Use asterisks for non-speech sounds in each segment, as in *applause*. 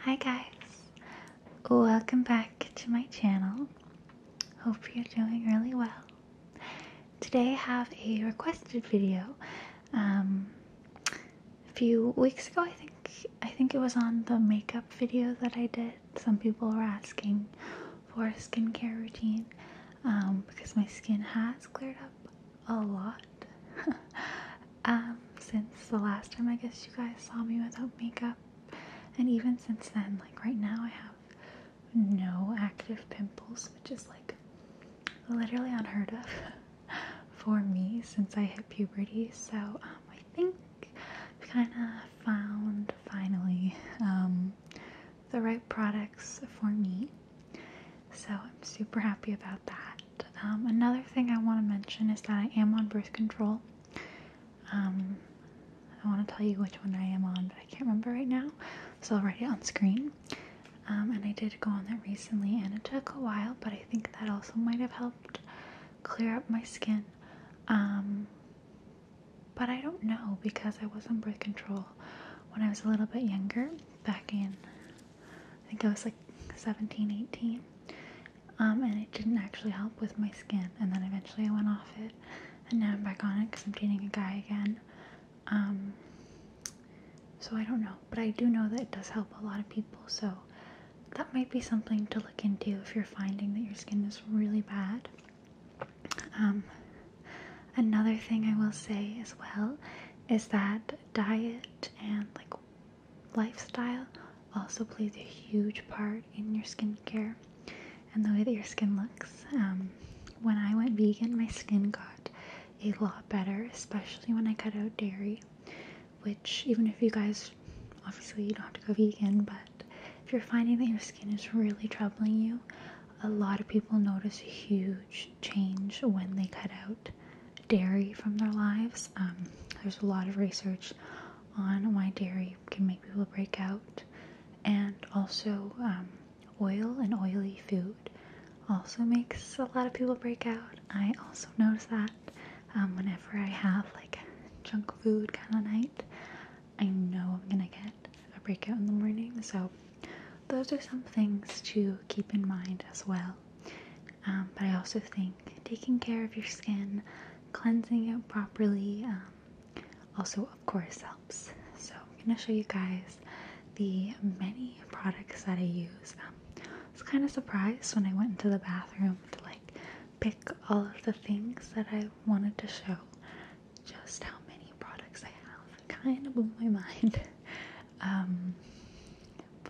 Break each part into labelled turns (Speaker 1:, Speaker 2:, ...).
Speaker 1: Hi guys, welcome back to my channel. Hope you're doing really well. Today I have a requested video. Um, a few weeks ago, I think I think it was on the makeup video that I did. Some people were asking for a skincare routine um, because my skin has cleared up a lot. *laughs* Um, since the last time I guess you guys saw me without makeup. And even since then, like right now, I have no active pimples, which is like literally unheard of *laughs* for me since I hit puberty. So um, I think I've kind of found finally um, the right products for me. So I'm super happy about that. Um, another thing I want to mention is that I am on birth control. Um, I want to tell you which one I am on, but I can't remember right now, so I'll write it on screen. Um, and I did go on that recently, and it took a while, but I think that also might have helped clear up my skin. Um, but I don't know because I was on birth control when I was a little bit younger, back in, I think I was like 17, 18 um, and it didn't actually help with my skin. And then eventually I went off it, and now I'm back on it because I'm dating a guy again. Um, so I don't know, but I do know that it does help a lot of people. So that might be something to look into if you're finding that your skin is really bad. Um, another thing I will say as well is that diet and like lifestyle also plays a huge part in your skincare and the way that your skin looks. Um, when I went vegan, my skin got a lot better, especially when I cut out dairy, which, even if you guys obviously you don't have to go vegan, but if you're finding that your skin is really troubling you, a lot of people notice a huge change when they cut out dairy from their lives. Um, there's a lot of research on why dairy can make people break out, and also um, oil and oily food also makes a lot of people break out. I also notice that um, whenever I have like junk food kind of night, I know I'm gonna get a breakout in the morning. So, those are some things to keep in mind as well. Um, but I also think taking care of your skin, cleansing it properly, um, also, of course, helps. So, I'm going to show you guys the many products that I use. Um, I was kind of surprised when I went into the bathroom to like pick all of the things that I wanted to show, just how many products I have. It kind of blew my *laughs* mind.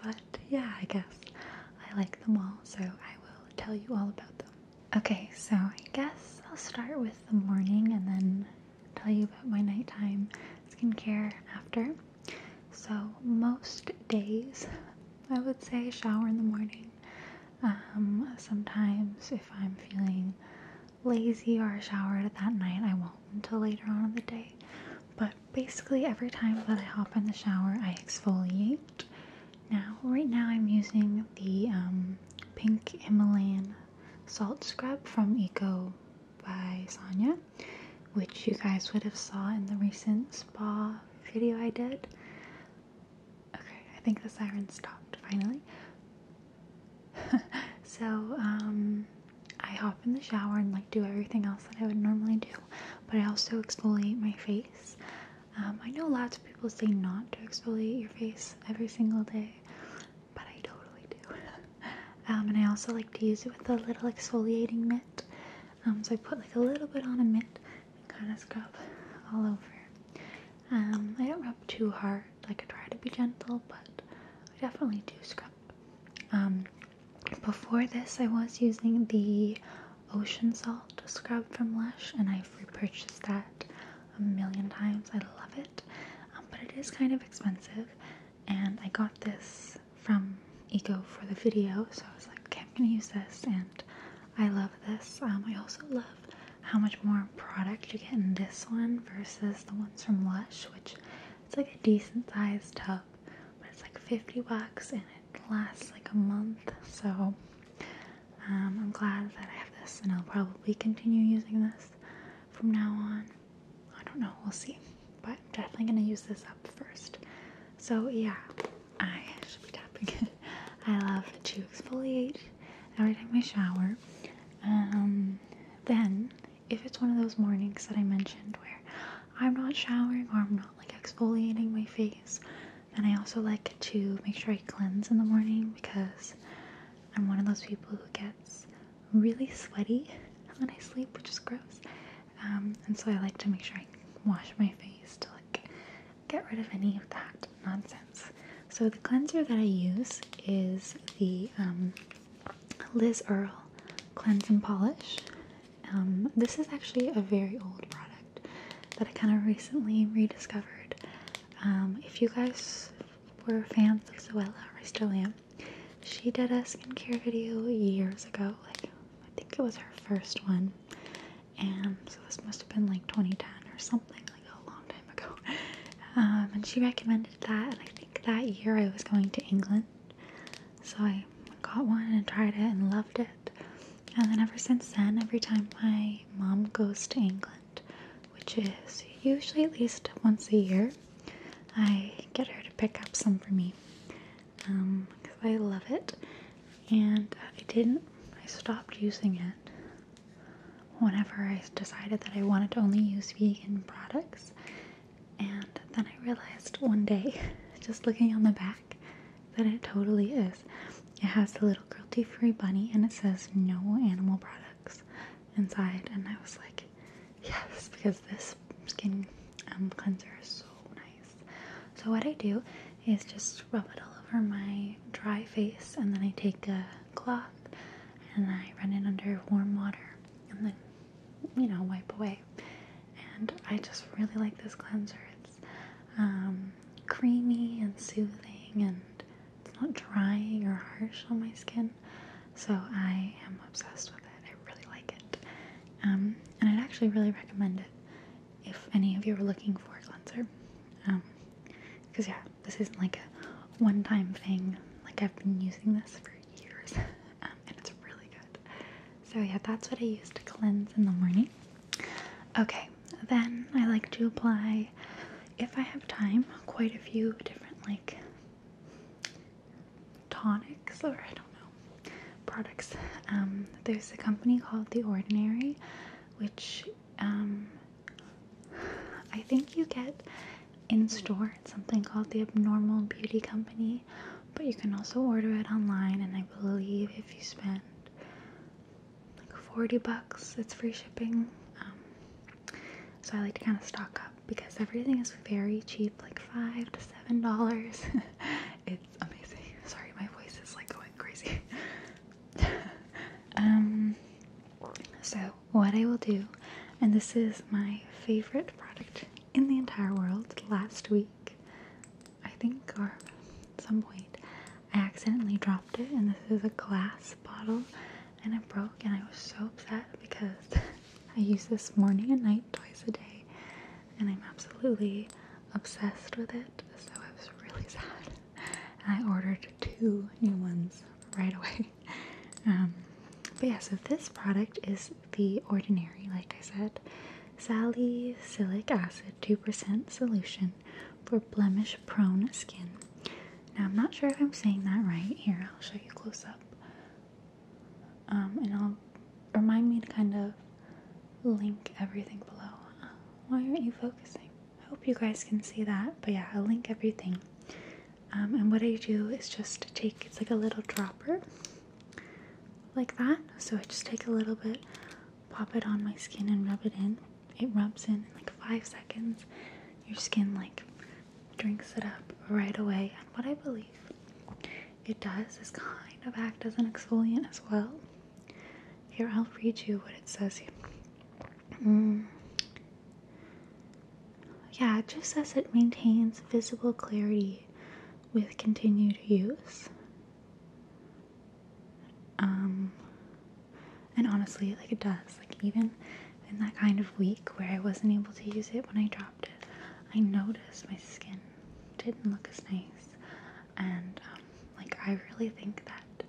Speaker 1: but yeah, I guess I like them all, so I will tell you all about them. Okay, so I guess I'll start with the morning and then tell you about my nighttime skincare after. So, most days I would say shower in the morning. Um, sometimes, if I'm feeling lazy or showered at that night, I won't until later on in the day. But basically every time that I hop in the shower, I exfoliate. Now, right now, I'm using the um, pink Himalayan salt scrub from Eco by Sonia, which you guys would have saw in the recent spa video I did. Okay, I think the siren stopped finally. *laughs* so, um, I hop in the shower and like do everything else that I would normally do but I also exfoliate my face. Um, I know lots of people say not to exfoliate your face every single day, but I totally do. *laughs* Um, and I also like to use it with a little exfoliating mitt. Um, so I put like a little bit on a mitt and kind of scrub all over. I don't rub too hard. Like I try to be gentle, but I definitely do scrub. Before this, I was using the ocean salt scrub from Lush, and I've repurchased that a million times. I love it, um, but it is kind of expensive. And I got this from Eco for the video, so I was like, okay, I'm gonna use this, and I love this. Um, I also love how much more product you get in this one versus the ones from Lush, which it's like a decent sized tub, but it's like 50 bucks and it lasts like a month. So um, I'm glad that I have this, and I'll probably continue using this from now on. I don't know, we'll see. But I'm definitely gonna use this up first. So yeah, I should be tapping it. *laughs* I love to exfoliate every time I shower. Um, then, if it's one of those mornings that I mentioned where I'm not showering or I'm not like exfoliating my face. And I also like to make sure I cleanse in the morning because I'm one of those people who gets really sweaty when I sleep, which is gross. Um, and so I like to make sure I wash my face to like get rid of any of that nonsense. So the cleanser that I use is the um, Liz Earle Cleanse and Polish. Um, this is actually a very old product that I kind of recently rediscovered. Um, if you guys were fans of Zoella, or still am, she did a skincare video years ago. Like, I think it was her first one. And so this must have been like 2010 or something, like a long time ago. *laughs* Um, and she recommended that, and I think that year I was going to England. So I got one and tried it and loved it. And then ever since then, every time my mom goes to England, which is usually at least once a year, I get her to pick up some for me because um, I love it. And I didn't, I stopped using it whenever I decided that I wanted to only use vegan products and then I realized one day, *laughs* just looking on the back, that it totally is. It has the little cruelty free bunny and it says no animal products inside. And I was like, yes, because this skin um, cleanser is so nice. So, what I do is just rub it all over my dry face and then I take a cloth and I run it under warm water and then you know, wipe away. And I just really like this cleanser. It's um, creamy and soothing, and it's not drying or harsh on my skin. So I am obsessed with it. I really like it. Um, and I'd actually really recommend it if any of you are looking for a cleanser. Because, um, yeah, this isn't like a one time thing. Like, I've been using this for years, um, and it's really good. So, yeah, that's what I use to cleanse in the morning. Okay, then I like to apply, if I have time, quite a few different, like, tonics or I don't know, products. Um, there's a company called The Ordinary, which um, I think you get in store. It's something called the Abnormal Beauty Company but you can also order it online. And I believe if you spend like 40 bucks, it's free shipping. Um, so I like to kind of stock up because everything is very cheap like five to seven dollars. *laughs* it's amazing. *laughs* Sorry, my voice is like going crazy. *laughs* um, so what I will do, and this is my favorite product in the entire world last week. I think, or some point, I accidentally dropped it, and this is a glass bottle, and it broke, and I was so upset because *laughs* I use this morning and night twice a day, and I'm absolutely obsessed with it, so I was really *laughs* sad. I ordered two new ones right away. *laughs* Um, but yeah, so this product is the ordinary, like I said, salicylic acid 2% solution for blemish prone skin. Now, I'm not sure if I'm saying that right. Here, I'll show you close up. Um, and I'll remind me to kind of link everything below. why aren't you focusing? I hope you guys can see that. But yeah, I'll link everything. Um, and what I do is just take it's like a little dropper like that. So I just take a little bit, pop it on my skin, and rub it in. It rubs in in like five seconds. Your skin like drinks it up right away. And what I believe it does is kind of act as an exfoliant as well. Here, I'll read you what it says mm. Yeah, it just says it maintains visible clarity with continued use. Um, and honestly, like it does. Like even in that kind of week where I wasn't able to use it when I dropped it, I noticed my skin didn't look as nice. And um, like I really think that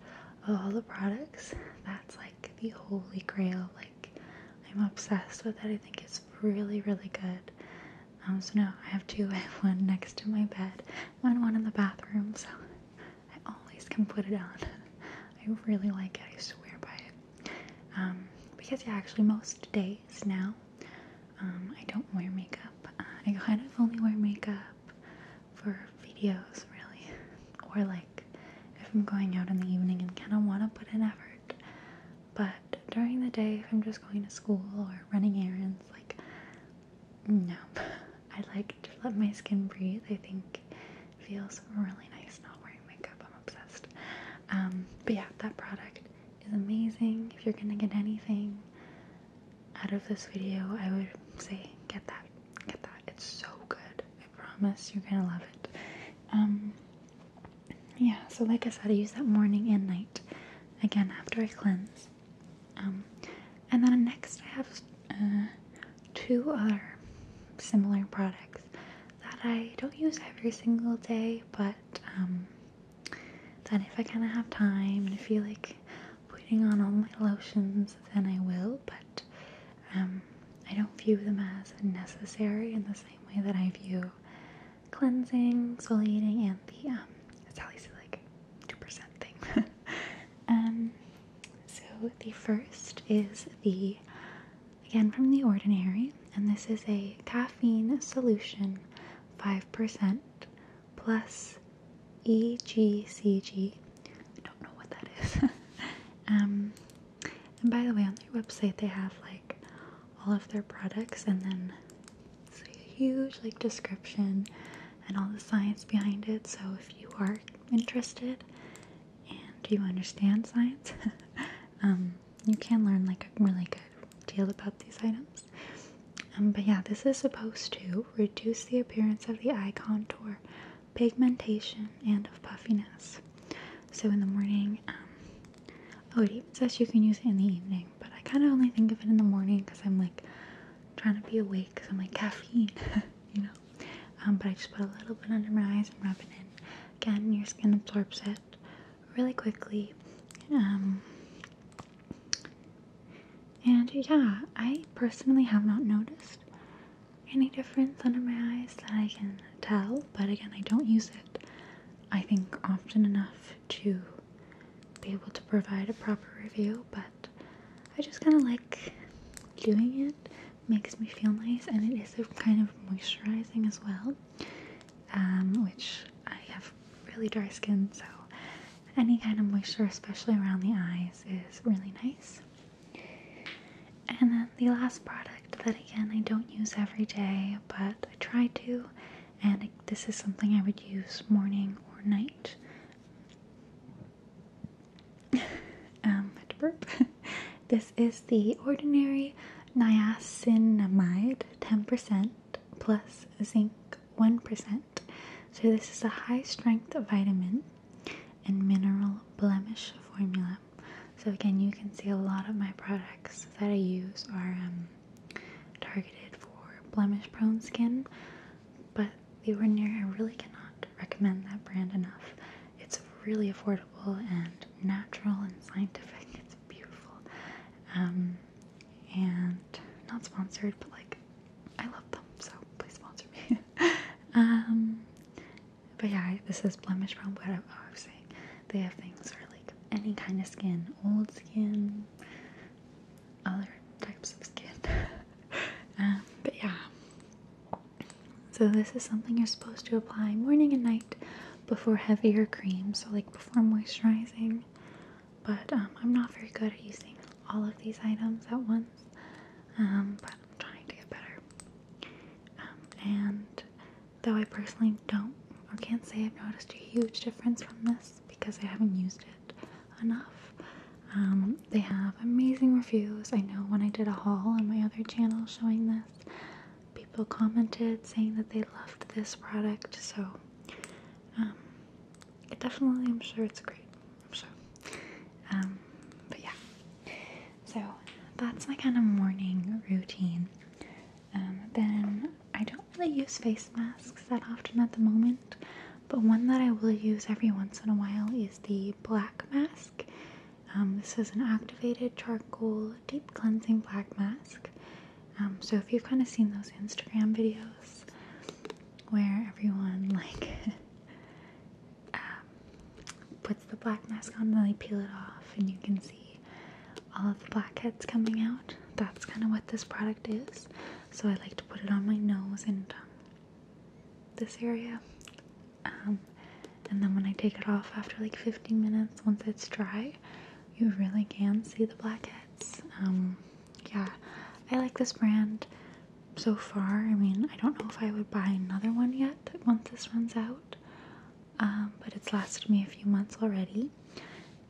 Speaker 1: of all the products, that's like the holy grail. Like I'm obsessed with it. I think it's really, really good. Um, so now I have two. *laughs* I have one next to my bed and one in the bathroom. So I always can put it on. *laughs* I really like it. I swear by it. Um, because yeah, actually most days now um, I don't wear makeup. Uh, I kind of only wear makeup for videos really, *laughs* or like if I'm going out in the evening and kind of want to put in effort. But during the day, if I'm just going to school or running errands, like, no. *laughs* I like to let my skin breathe. I think feels really nice not wearing makeup. I'm obsessed. Um, but yeah, that product is amazing. If you're gonna get anything out of this video, I would say get that. Get that. It's so good. I promise you're gonna love it. Um, yeah, so like I said, I use that morning and night again after I cleanse. Um, and then next, I have uh, two other similar products that I don't use every single day, but um, then if I kind of have time and feel like putting on all my lotions, then I will, but um, I don't view them as necessary in the same way that I view cleansing, exfoliating, and the um, Sally's like 2% thing. *laughs* um, so the first is the, again from The Ordinary, and this is a caffeine solution 5% plus EGCG. I don't know what that is. *laughs* um, and by the way, on their website, they have like all of their products and then it's a huge like description and all the science behind it. So if you are interested and you understand science, *laughs* um, you can learn like a really good deal about these items. Um, but yeah, this is supposed to reduce the appearance of the eye contour, pigmentation, and of puffiness. So in the morning, um, Oh, it says you can use it in the evening, but I kind of only think of it in the morning because I'm like trying to be awake because I'm like caffeine, *laughs* you know. Um, but I just put a little bit under my eyes and rub it in. Again, your skin absorbs it really quickly. Um, and yeah, I personally have not noticed any difference under my eyes that I can tell, but again, I don't use it I think, often enough to be able to provide a proper review, but I just kind of like doing it. Makes me feel nice, and it is kind of moisturizing as well, um, which I have really dry skin, so any kind of moisture, especially around the eyes, is really nice. And then the last product that, again, I don't use every day, but I try to and this is something I would use morning or night. *laughs* um, *laughs* this is the ordinary niacinamide 10% plus zinc 1%. So this is a high strength vitamin and mineral blemish formula. So again, you can see a lot of my products that I use are um, targeted for blemish prone skin, but The Ordinary, I really cannot recommend that brand enough. It's really affordable and natural and scientific. *laughs* It's beautiful. Um, and not sponsored, but like, I love them, so please sponsor me. *laughs* Um, but yeah, this is blemish prone, but I was saying they have things really any kind of skin, old skin, other types of skin. *laughs* Um, but yeah. So this is something you're supposed to apply morning and night before heavier creams, so like before moisturizing. But um, I'm not very good at using all of these items at once, um, but I'm trying to get better. and Though I personally don't or can't say I've noticed a huge difference from this because I haven't used it enough. Um, they have amazing reviews. I know when I did a haul on my other channel showing this, people commented saying that they loved this product, so um, definitely, I'm sure it's great. I'm sure. Um, but yeah. So that's my kind of morning routine. Um, then I don't really use face masks that often at the moment, but one that I will use every once in a while is the black mask. Um, this is an activated charcoal deep cleansing black mask. Um, so if you've kind of seen those Instagram videos where everyone *laughs* like puts the black mask on and they peel it off and you can see all of the blackheads coming out. That's kind of what this product is. So I like to put it on my nose and um, this area. Um, and then when I take it off after like 15 minutes, once it's dry, you really can see the blackheads. Um, yeah, I like this brand so far. I mean, I don't know if I would buy another one yet once this one's out. Um, but it's lasted me a few months already.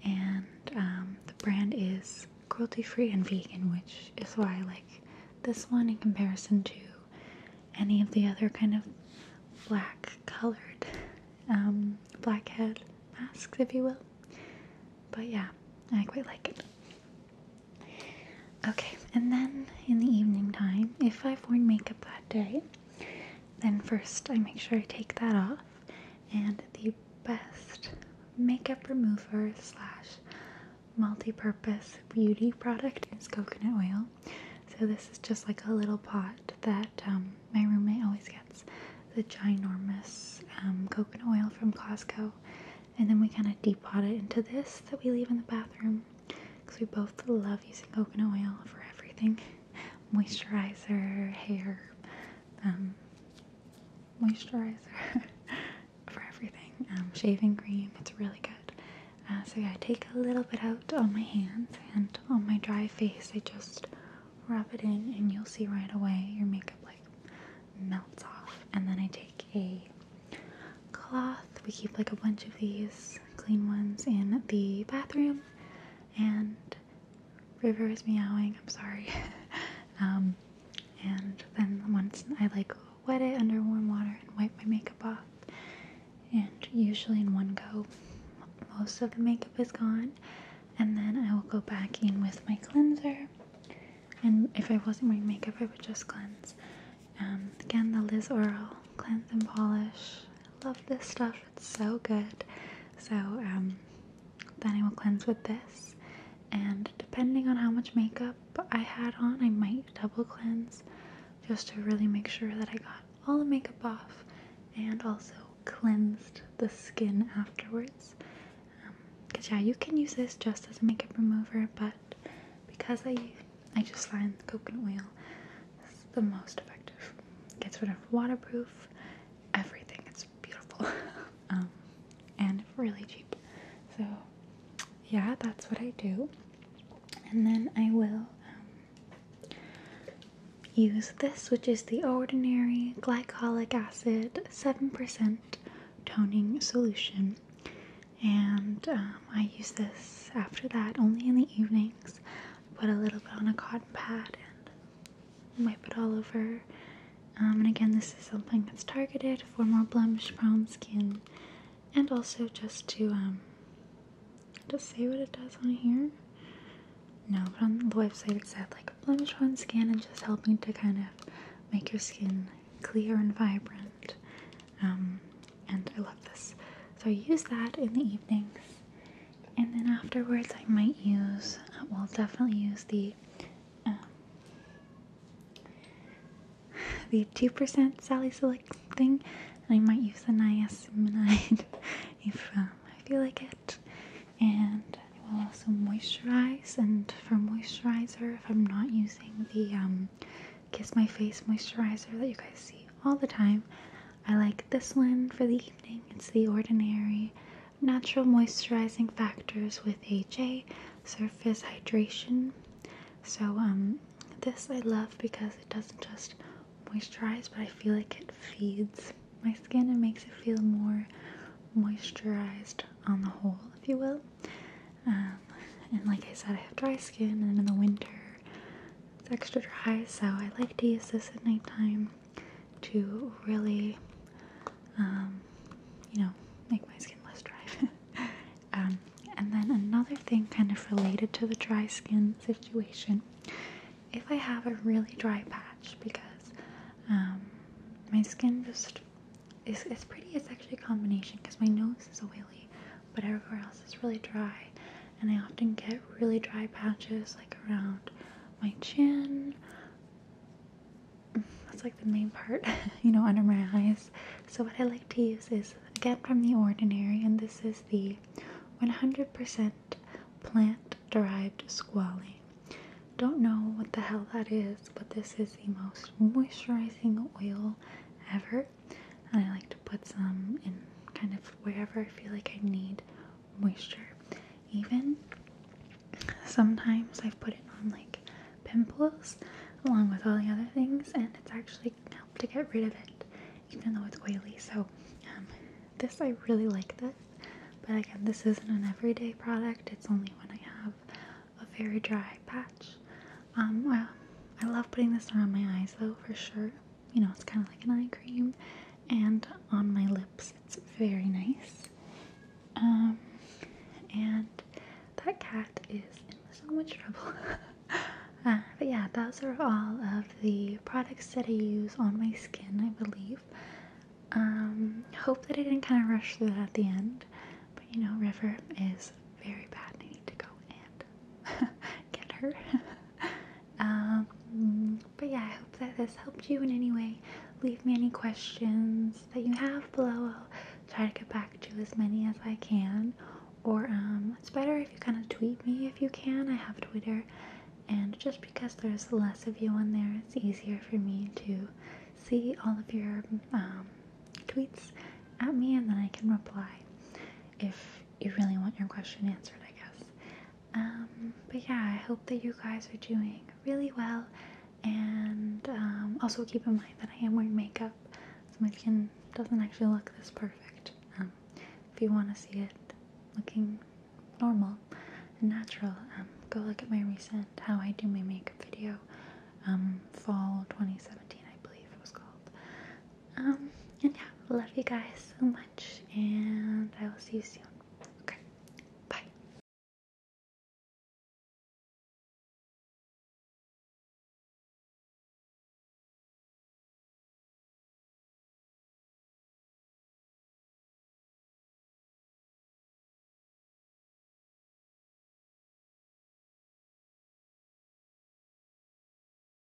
Speaker 1: And um, the brand is cruelty free and vegan, which is why I like this one in comparison to any of the other kind of black colored um, blackhead masks, if you will. But yeah, I quite like it. Okay, and then in the evening time, if I've worn makeup that day, then first I make sure I take that off and the best makeup remover slash multi-purpose beauty product is coconut oil. So this is just like a little pot that um, my roommate always gets the ginormous um, coconut oil from Costco and then we kind of depot it into this that we leave in the bathroom because we both love using coconut oil for everything moisturizer, hair, um, moisturizer *laughs* for everything, um, shaving cream. It's really good. Uh, so yeah, I take a little bit out on my hands and on my dry face. I just rub it in, and you'll see right away your makeup like melts off. And then I take a cloth. We keep like a bunch of these clean ones in the bathroom and River is meowing. I'm sorry. *laughs* Um, and then once I like wet it under warm water and wipe my makeup off, and usually in one go, most of the makeup is gone. And then I will go back in with my cleanser. And if I wasn't wearing makeup, I would just cleanse. Um, again, the Liz Oral Cleanse and Polish I love this stuff, it's so good. So, um, then I will cleanse with this. And depending on how much makeup I had on, I might double cleanse just to really make sure that I got all the makeup off and also cleansed the skin afterwards. Because, um, yeah, you can use this just as a makeup remover, but because I, I just line the coconut oil, it's the most effective. Gets rid of waterproof, everything. It's beautiful. *laughs* Um, and really cheap. So, yeah, that's what I do. And then I will um, use this, which is the Ordinary Glycolic Acid 7% Toning Solution. And um, I use this after that only in the evenings put a little bit on a cotton pad and wipe it all over. Um, and again, this is something that's targeted for more blemish prone skin and also just to um, just say what it does on here. No, but on the website it said like blemish prone skin and just helping to kind of make your skin clear and vibrant. Um, and I love this. So I use that in the evenings and then afterwards I might use, uh, We'll definitely use the um, the 2% Sally Select thing and I might use the niacinamide *laughs* if um, I feel like it and I will also moisturize and for moisturizer if I'm not using the um, Kiss My Face moisturizer that you guys see all the time I like this one for the evening. It's the Ordinary Natural Moisturizing Factors with HA Surface Hydration. So, um, this I love because it doesn't just moisturize, but I feel like it feeds my skin and makes it feel more moisturized on the whole, if you will. Um, and like I said, I have dry skin, and in the winter, it's extra dry, so I like to use this at nighttime to really, um, you know, make my skin less dry. *laughs* Um, and then another thing, kind of related to the dry skin situation, if I have a really dry patch because um, my skin just is pretty. It's actually a combination because my nose is oily, but everywhere else is really dry and I often get really dry patches like around my chin. That's like the main part, *laughs* you know, under my eyes. So, what I like to use is again from The Ordinary, and this is the 100% plant derived squalene. Don't know what the hell that is, but this is the most moisturizing oil ever and I like to put some in kind of wherever I feel like I need moisture. Even sometimes I've put it on like pimples along with all the other things, and it's actually helped to get rid of it, even though it's oily. So, um, this I really like this, but again, this isn't an everyday product, it's only when I have a very dry patch. Um, well, I love putting this around my eyes though, for sure you know, it's kind of like an eye cream, and on my lips, it's very nice. Um, and that cat is in so much trouble. *laughs* Uh, but yeah, those are all of the products that I use on my skin, I believe. Um, hope that I didn't kind of rush through that at the end, but you know, River is very bad. I need to go and *laughs* get her. *laughs* Um, but yeah, I hope that this helped you in any way. Leave me any questions that you have below. I'll try to get back to as many as I can. Or um, it's better if you kind of tweet me if you can. I have Twitter, and just because there's less of you on there, it's easier for me to see all of your um, tweets at me, and then I can reply if you really want your question answered, I guess. Um, but yeah, I hope that you guys are doing really well. And um, also keep in mind that I am wearing makeup, so my skin doesn't actually look this perfect. Um, if you want to see it looking normal and natural, go look at my recent how I do my makeup video, fall 2017, I believe it was called. Um, and yeah, love you guys so much, and I will see you soon. Okay, bye.